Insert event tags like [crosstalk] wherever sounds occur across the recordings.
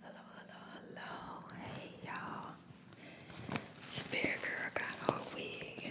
Hello, hello, hello. Hey, y'all. It's Girl Got Her Wig.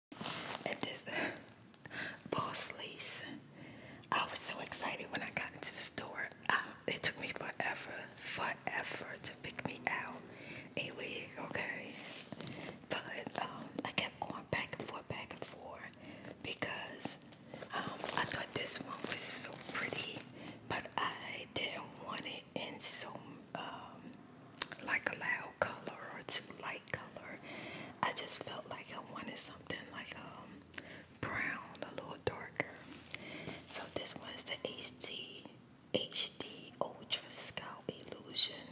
It is, this [laughs] Boss Lease. I was so excited when I got into the store. it took me forever, forever to pick me out a wig, okay? But um, I kept going back and forth, back and forth because um, I thought this one was so pretty, but I didn't want it in so um, like a loud color or too light color. I just felt like I wanted something like um brown, a little darker. So this one's the HD HD Ultra Scout Illusion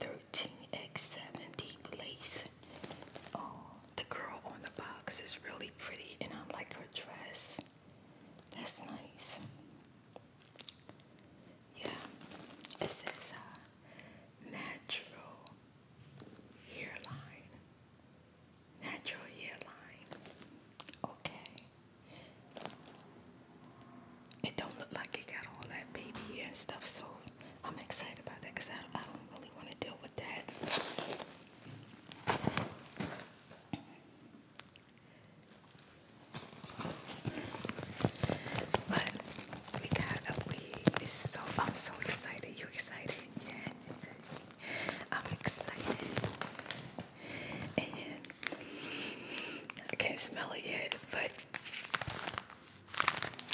13 x seventy d Lace. Oh, the girl on the box is really pretty, and I like her dress. That's nice. Yeah, it says uh, natural hairline. Natural hairline. Okay. It don't look like it got all that baby hair and stuff, so I'm excited about that because I, I don't really want to deal with that. But we got a weed. It's so I'm so excited. You excited? Yeah. I'm excited. And I can't smell it yet, but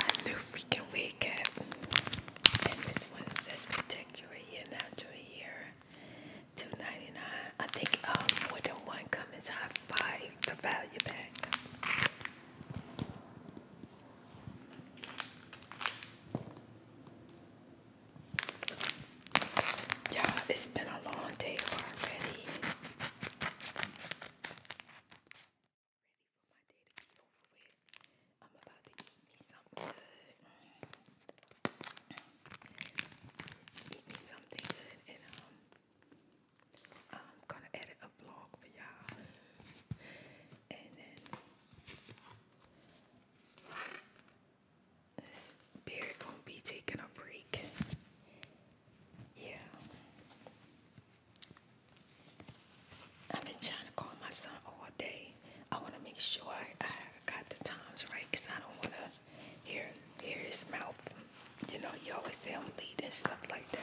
I knew we can wake up. And this one says protect your hair, now, hair. $2.99. I think um, more than one comes out got value back. Yeah, it's been a long day already. Ready for my day to be over I'm about to eat me something good. Eat me something good and um I'm gonna edit a vlog for y'all, [laughs] and then this beard gonna be taking a break. Yeah, I've been trying to call my son all day. I want to make sure I got the times right because I don't want to here, here mouth. You know, you always say I'm lead and stuff like that.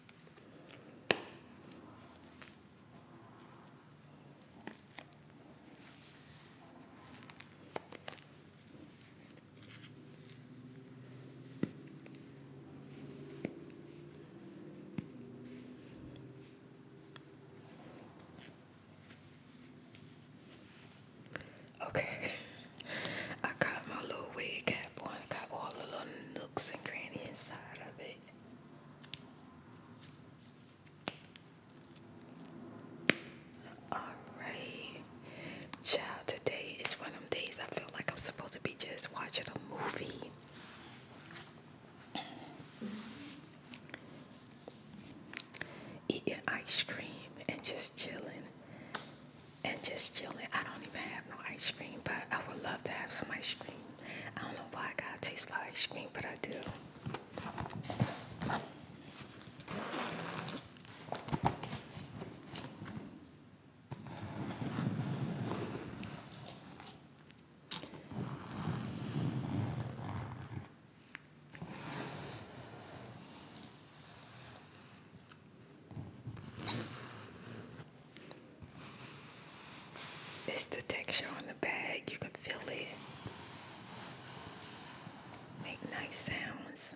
Okay, [laughs] I got my little wig cap on. I got all the little looks and granny inside of it. Alright, child, today is one of them days I feel like I'm supposed to be just watching a movie. Eating ice cream and just chilling. And just chilling. I don't even have no ice cream, but I would love to have some ice cream. I don't know why I got a taste for ice cream, but I do. It's the texture on the bag. You can feel it. Make nice sounds.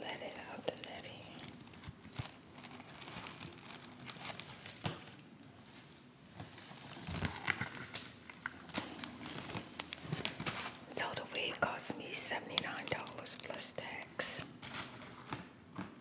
Let it out the So the wig cost me $79 plus tax.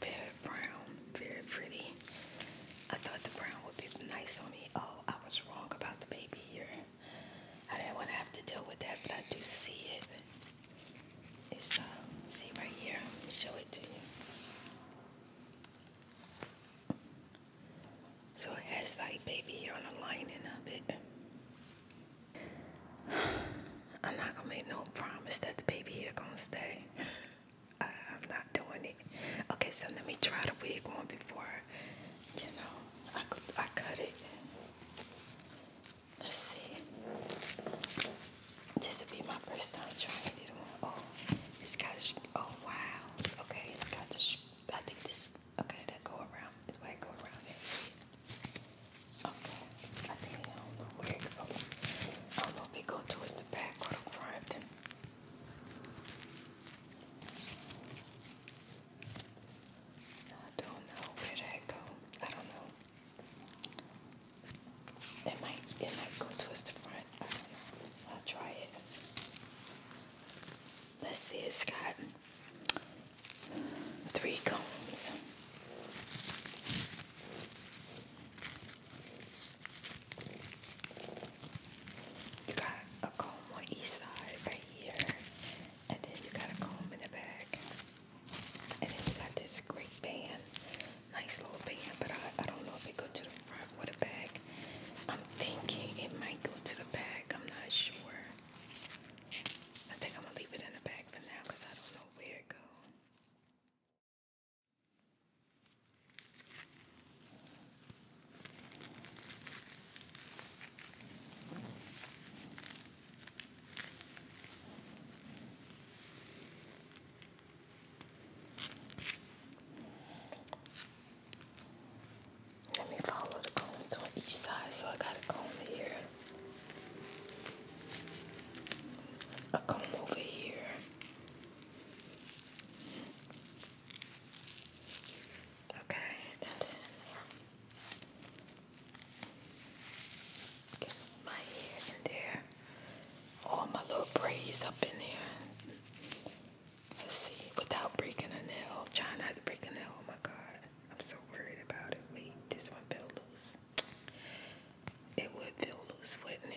Very brown, very pretty. I thought the brown would be nice on me. Oh, I was wrong about the baby here. I didn't want to have to deal with that, but I do see it. It's uh, see right here. Show it to you. So it has like baby hair on the lining of it. [sighs] I'm not gonna make no promise that the baby hair gonna stay. [laughs] I, am not doing it. Okay, so let me try the wig on before, you know, I, I cut it. Let's see. This would be my first time trying it Oh, it's got, oh wow. Okay, it's got the I think this, okay, that go around, this way go around Okay, I think, I don't know where it goes. I don't know if it goes towards the back or the front. I don't know where that go. I don't know. It might, it might go towards the front. I'll try it let's see, it's got three combs. You got a comb on each side right here, and then you got a comb in the back, and then you got this great band, nice little band, but I, I don't know if it goes to the front or the back. I'm thinking it might go to the back. I'm not sure. I think I'm gonna leave it in the bag for now because I don't know where it goes. Let me follow the combs on each side. So I got a comb here, a comb over here. Okay, get my hair in there. All my little braids up in there. Let's see, without breaking a nail. Try not to break a nail. Oh my God. I'm so worried about it. Wait, this one fell loose. It would feel loose, wouldn't it?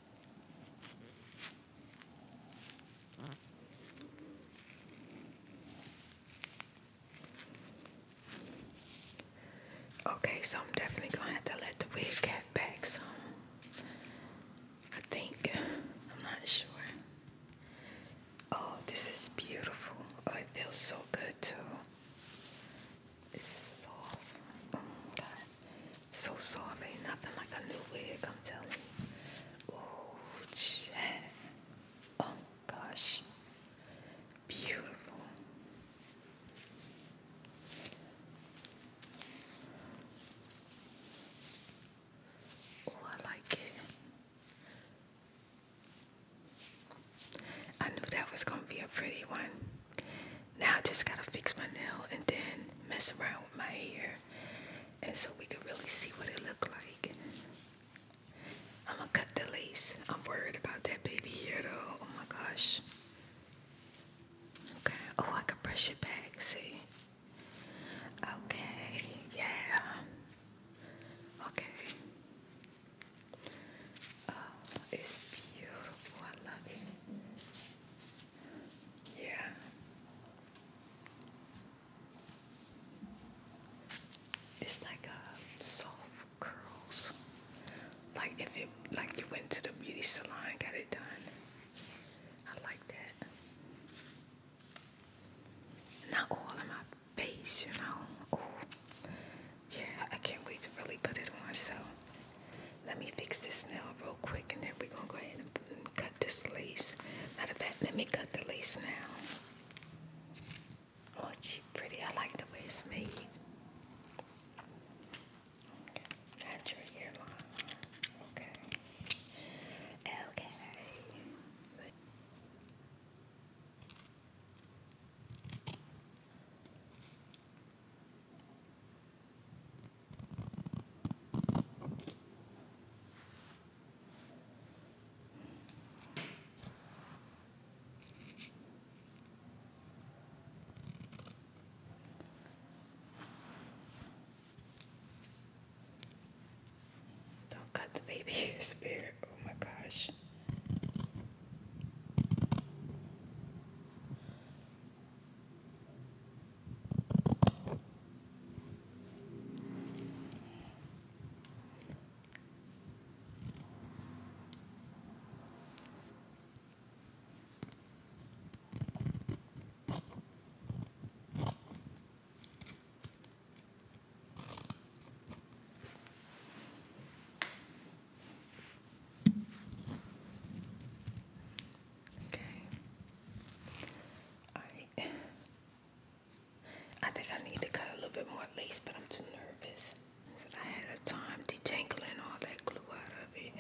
Okay, so I'm definitely gonna have to let the wig cat back some. I think I'm not sure. Oh, this is beautiful. Oh, it feels so good too. It's so Oh so soft, ain't nothing like a new wig, I'm telling you. Oh, gosh. Beautiful. Oh, I like it. I knew that was going to be a pretty one. Now just got to fix my nail and then mess around with my hair and so we could really see what it looked like. I'm gonna cut the lace. I'm worried about that baby here though. Oh my gosh. Okay. Oh, I can brush it back. See. Okay. Yeah. Okay. Oh, it's beautiful. I love it. Yeah. It's like um, soft curls. Like if it like you went to the beauty salon got it done. I like that. Not all in my face, you know. yeah, I can't wait to really put it on. So let me fix this nail real quick and then we gonna go ahead and cut this lace. Not a bad. let me cut the lace now. Oh, she pretty. I like the way it's made. Okay. That's your hairline. Okay. Okay. Don't cut the baby [laughs] hair, Oh my gosh. Okay. I I think I need to cut a little bit more lace, but I'm too nervous. I had a time detangling all that glue out of it.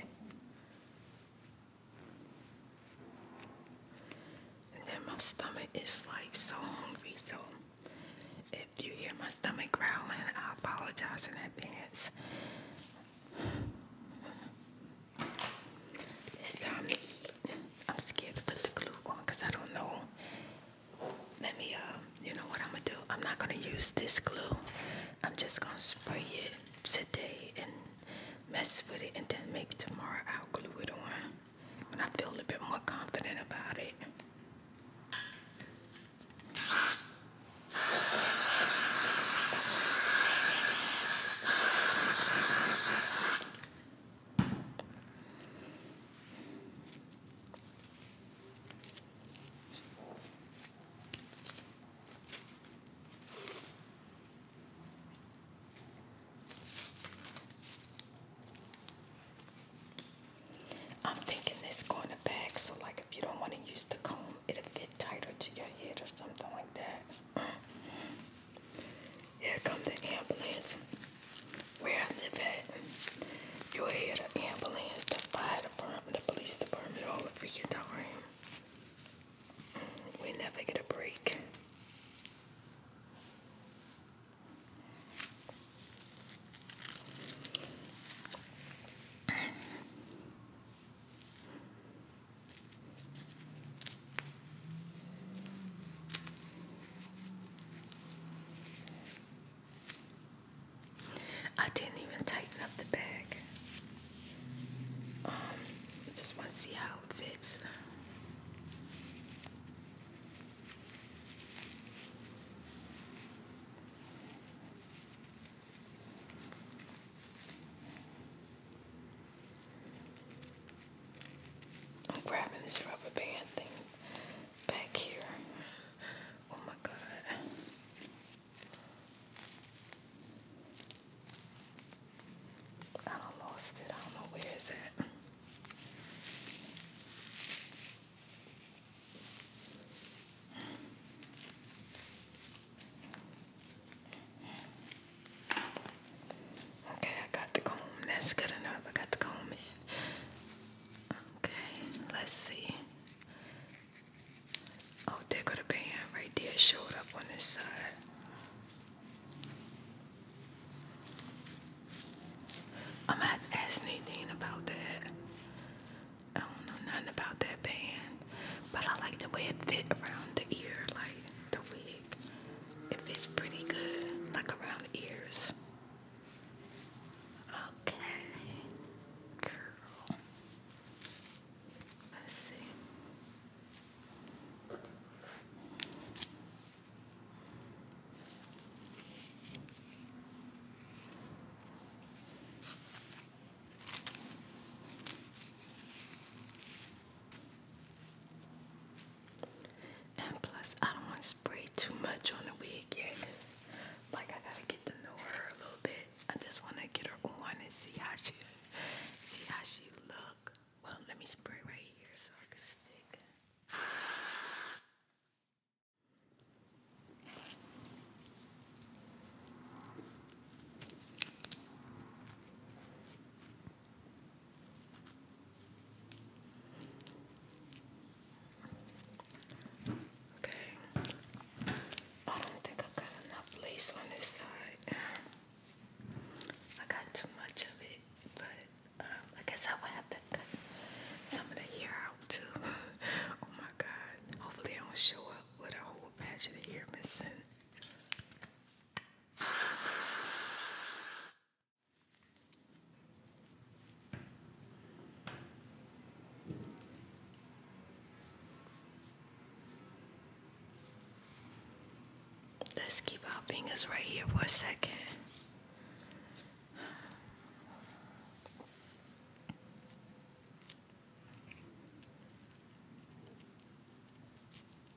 And then my stomach is like so hungry, so if you hear my stomach growling, I apologize in advance. It's time to eat. I'm scared to put the glue on because I don't know. Let me, uh, you know what I'm gonna do? I'm not gonna use this glue. I'm just gonna spray it today and mess with it, and then maybe tomorrow I'll glue it on when I feel a little bit more confident about it. I'm thinking this going to back so like if you don't want to use the comb it'll fit tighter to your head or something like that. Here comes the ambulance. Where I live at, you'll hear the ambulance, the fire department, the police department all the freaking time. We never get a break. I didn't even tighten up the bag. Um, just want to see how it fits. I'm grabbing this rubber band thing back here. Oh my god. I lost it. I don't know where is it. Okay, I got the comb. That's good enough. I got the comb in. Okay, let's see. Oh, there go the band right there. Showed up on this side. I'm gonna have to about that. I don't know nothing about that band, but I like the way it fit around the ear, like the wig. It fits pretty good, like around the ears. Okay, girl. Let's see. And plus, I don't want to spray too much on the wig yet, like I gotta get to know her a little bit. I just want to get her on and see how she, see how she look. Well, let me spray right here so I can stick. Okay. I don't think I have got enough lace on this side. I got too much of it, but um, I guess I will have to cut some of the hair out too. [laughs] oh my god. Hopefully I don't show up with a whole patch of hair missing. Let's keep our fingers right here for a second.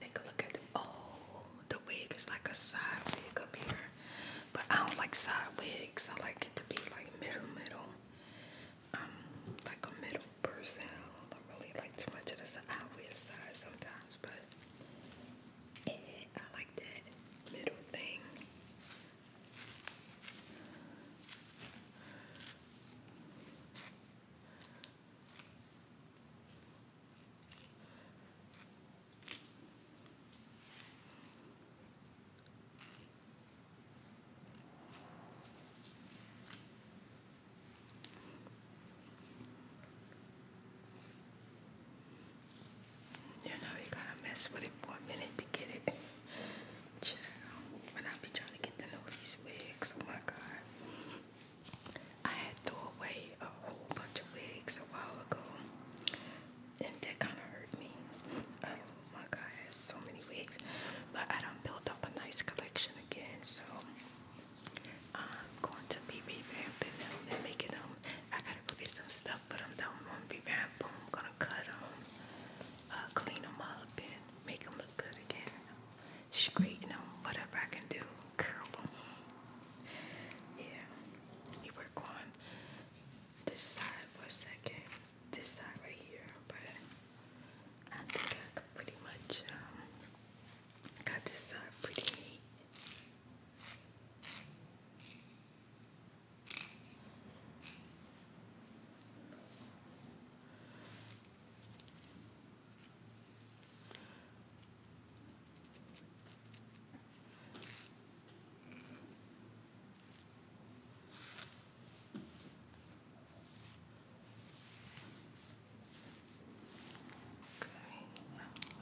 Take a look at oh, the wig is like a side wig up here, but I don't like side wigs. I like it to be like middle, middle. I'm um, like a middle person. I really like too much of the side weird side sometimes, but I like that middle thing. You know you gotta mess with it for a minute to get it. Child, when I be trying to get the know these wigs, oh my god. I had throw away a whole bunch of wigs a while ago, and that kind of hurt me. Oh my guy has so many wigs, but I don't build up a nice collection again, so I'm going to be revamping them and making them. I gotta go get some stuff, but I'm done. I'm gonna be revamping. I'm gonna cut them, uh, clean them up, and make them look good again. She's great, you know. whatever I can do, curl Yeah, you work on this side for a second, this side right here, but I think I could pretty much um, got this side pretty neat. Okay,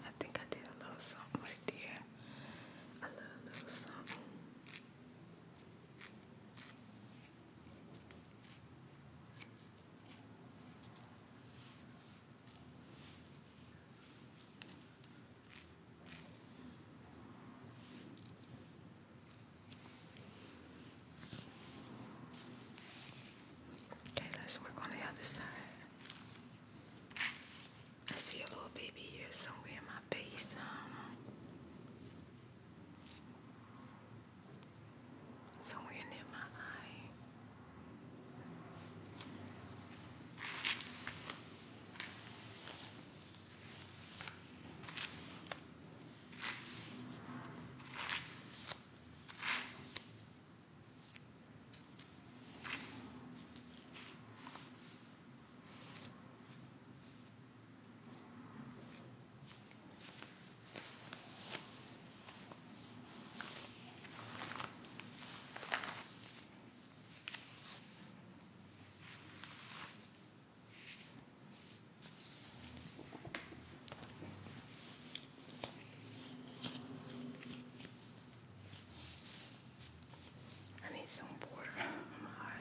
I think I did a little something right there. A little, little something. Okay, let's work on the other side. I see a little baby here somewhere in my face. Um, somewhere near my eye. I need some water. I'm hot.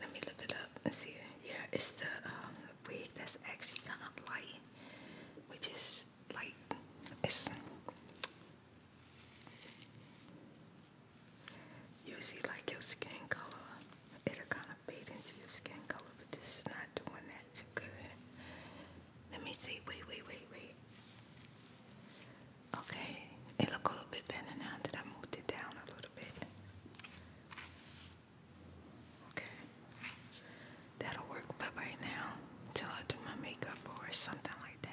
Let me look it up and see. Yeah, it's um, the wig that's actually kind of light, which is like it's usually like your skin color. It'll kind of fade into your skin color, but this is not doing that too good. Let me see. Wait, wait, wait, wait. Okay, it look a bit better now that I moved it down a little bit. Okay, that'll work. But right now, till I do my makeup or something like that.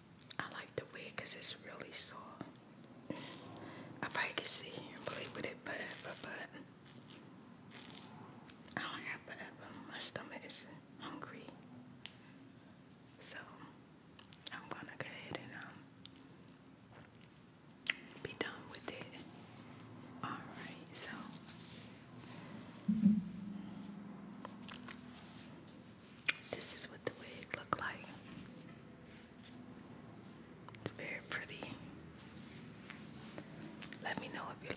I like the wig because it's really soft. I probably could here and play with it forever, but I don't have forever. My stomach is hungry. So I'm gonna go ahead and um be done with it. Alright, so this is what the wig looked like. It's very pretty. Let me know if you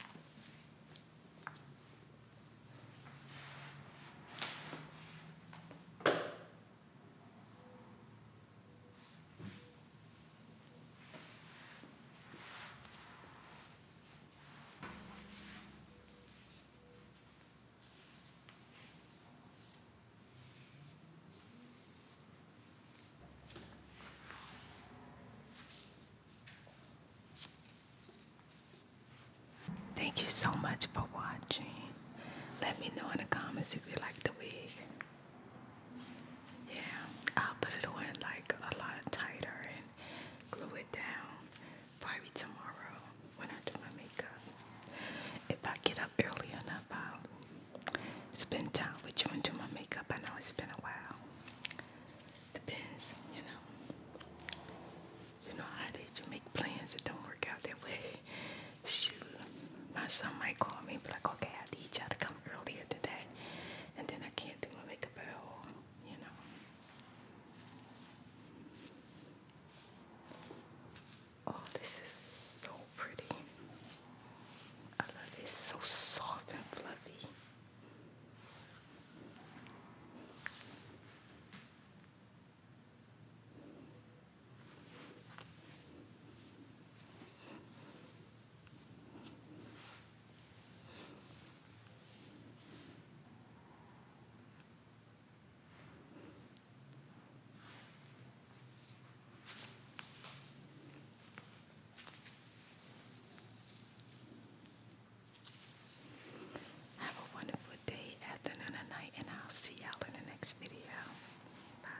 Thank you so much for watching. Let me know in the comments if you like the wig. Yeah, I'll put it on like a lot tighter and glue it down probably tomorrow when I do my makeup. If I get up early enough, I'll spend time with you and do my makeup. I know it's been a while. Depends, you know. You know how did you make plans that don't work out that way? Shoot, my son might call me and like, okay, I need you to come earlier today. And then I can't do my makeup at you know. Oh, this is so pretty. I love it. so soft and fluffy. Have a wonderful day, afternoon, and night, and I'll see y'all in the next video. Bye.